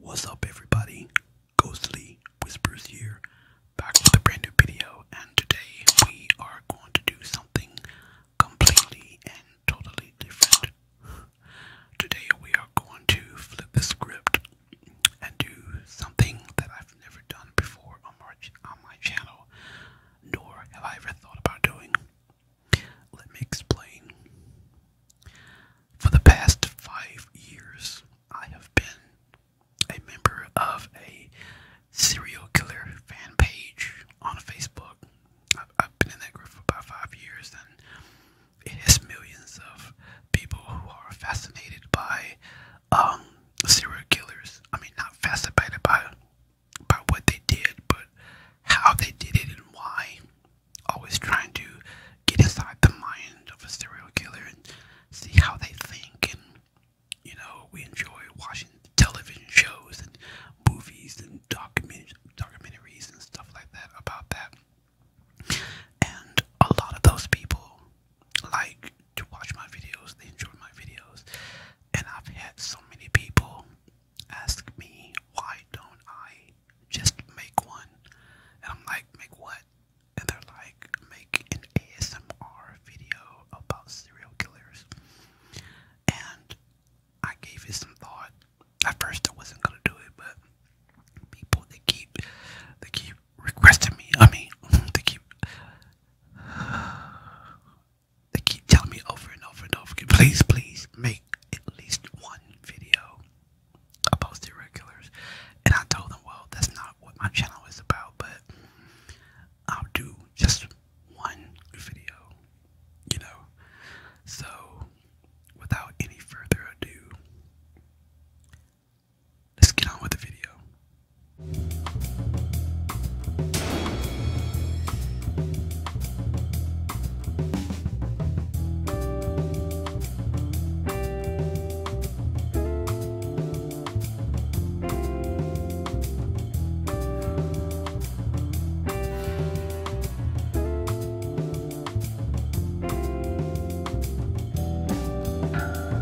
What's up everybody? Ghostly Whispers here, back with a brand new video and today we are going to do something completely and totally different. Today we are going to flip the script and do something that I've never done before on my, channel, nor have I ever thought about doing. Let me explain. For the past five years, I have been a member of a serial killer fan page on Facebook. I've, been in that group for about five years, and it has millions of people who are fascinated by um, serial killers. I mean, not fascinated by by what they did, but how they did it and why. Always trying to get inside the mind of a serial killer and see how they think. And you know, we enjoy watching television shows and movies and documentaries and stuff like that about that. And a lot of those people like to watch my videos, they enjoy my videos, and I've had so many people ask me why don't I just make one, and I'm like, make what? And they're like, make an ASMR video about serial killers, and I gave it some thought. At first, I wasn't gonna do it, but people they keep they keep requesting me. I mean, they keep they keep telling me over and over and over again. Please, please make at least one video about the regulars. And I told them, well, that's not what my channel is about, but I'll do just one video, you know. So, without any further ado, let's get on with the video.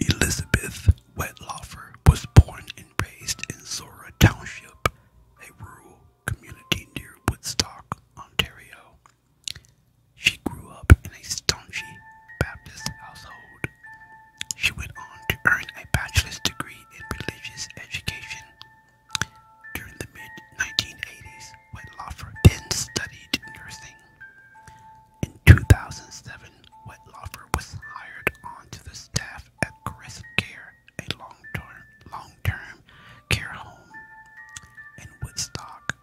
Elizabeth Wetlaufer was born and raised in Zora Township, a rural community near Woodstock, Ontario. She grew up in a staunchly Baptist household she went on to earn a bachelor's degree in religious education during the mid 1980s, when Loffer then studied nursing. In 2007, Wetlaufer was hired onto the staff at Caressa Care, a long-term care home in Woodstock.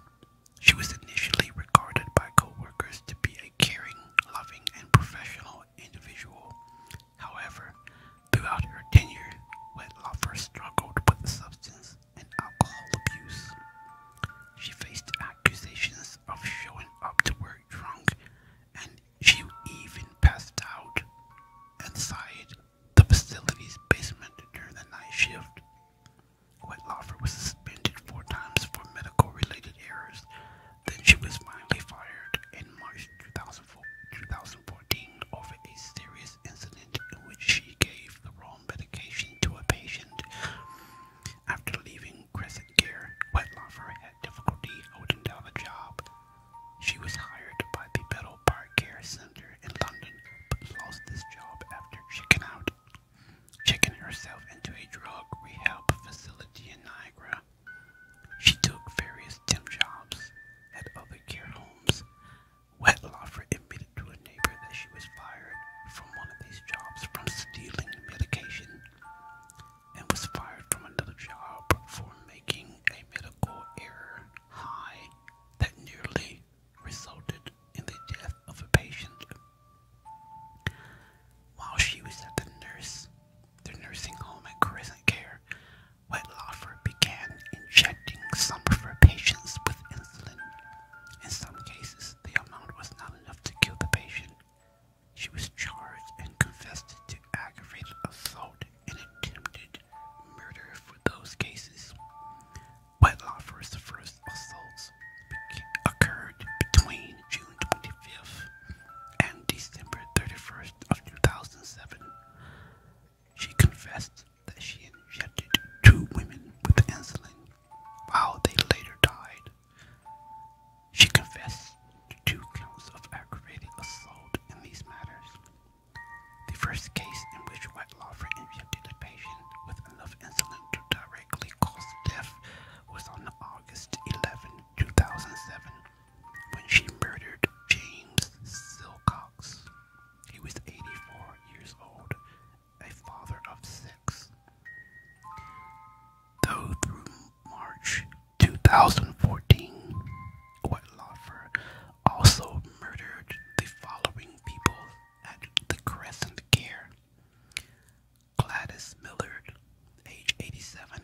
She was initially regarded by co-workers to be a caring, loving, and professional individual. However, throughout her tenure, Wedlofer struggled with substance and alcohol abuse. She faced accusations of showing up to work drunk, and she even passed out inside the facility's basement during the night shift. Whitelaufer was suspended four times for medical related errors then she was finally fired in March 2014 over a serious incident in which she gave the wrong medication to a patient. After leaving Crescent Care, Wetlaufer had difficulty holding down a job. She was hired by the Metal Park Care Center in London, but lost this job after checking out checking herself into a drug rehab facility in Niagara. She took various temp jobs at other care homes. Wetlaufer admitted to a neighbor that she was fired from one of these jobs from stealing medication and was fired from another job for making a medical error high that nearly resulted in the death of a patient while she was at the nurse, the nursing home at Crescent Care, Wetlaufer began injecting some of her patients with insulin. In some cases, the amount was not enough to kill the patient. She was charged and confessed to aggravated assault and attempted murder for those cases. Wetlaufer's first assaults occurred between June 20, 25th and December 31st of 2007, she confessed that she injected two women with insulin while they later died. She confessed to two counts of aggravated assault in these matters. The first case in which White Lawford injected a patient with enough insulin to directly cause death was on August 11, 2007, when she murdered James Silcox. He was 84 years old, a father of six. Though through March 2014, Whitelaufer also murdered the following people at the Crescent Care Gladys Millard, age 87,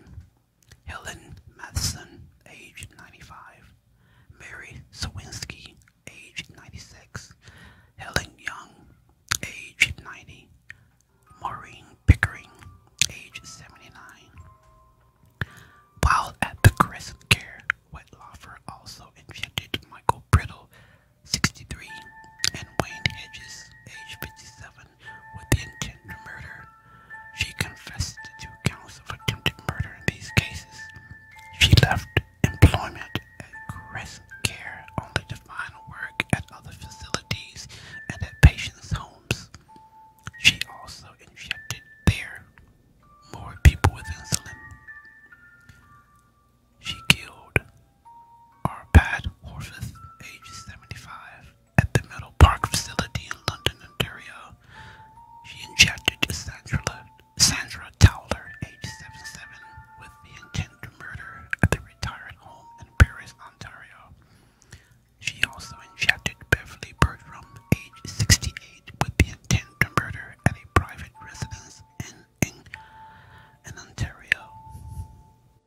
Helen Matheson, age 95, Mary Sewinski, age 96, Helen Young, age 90, Maureen Pickering, age 79. While at the Crescent Care, Wetlofer also invented Michael Brittle 63, and Wayne Hedges, age 57, with the intent to murder. She confessed to two counts of attempted murder in these cases. She left employment at Crescent Care only to find work at other facilities and at patients' homes. She also injected there more people with insulin. She killed are Horvath, age 75, at the Meadow Park facility in London, Ontario. She injected Sandra, Sandra Towler, age 77, with the intent to murder at the retired home in Paris, Ontario. She also injected Beverly Bertram, age 68, with the intent to murder at a private residence in, in Ontario.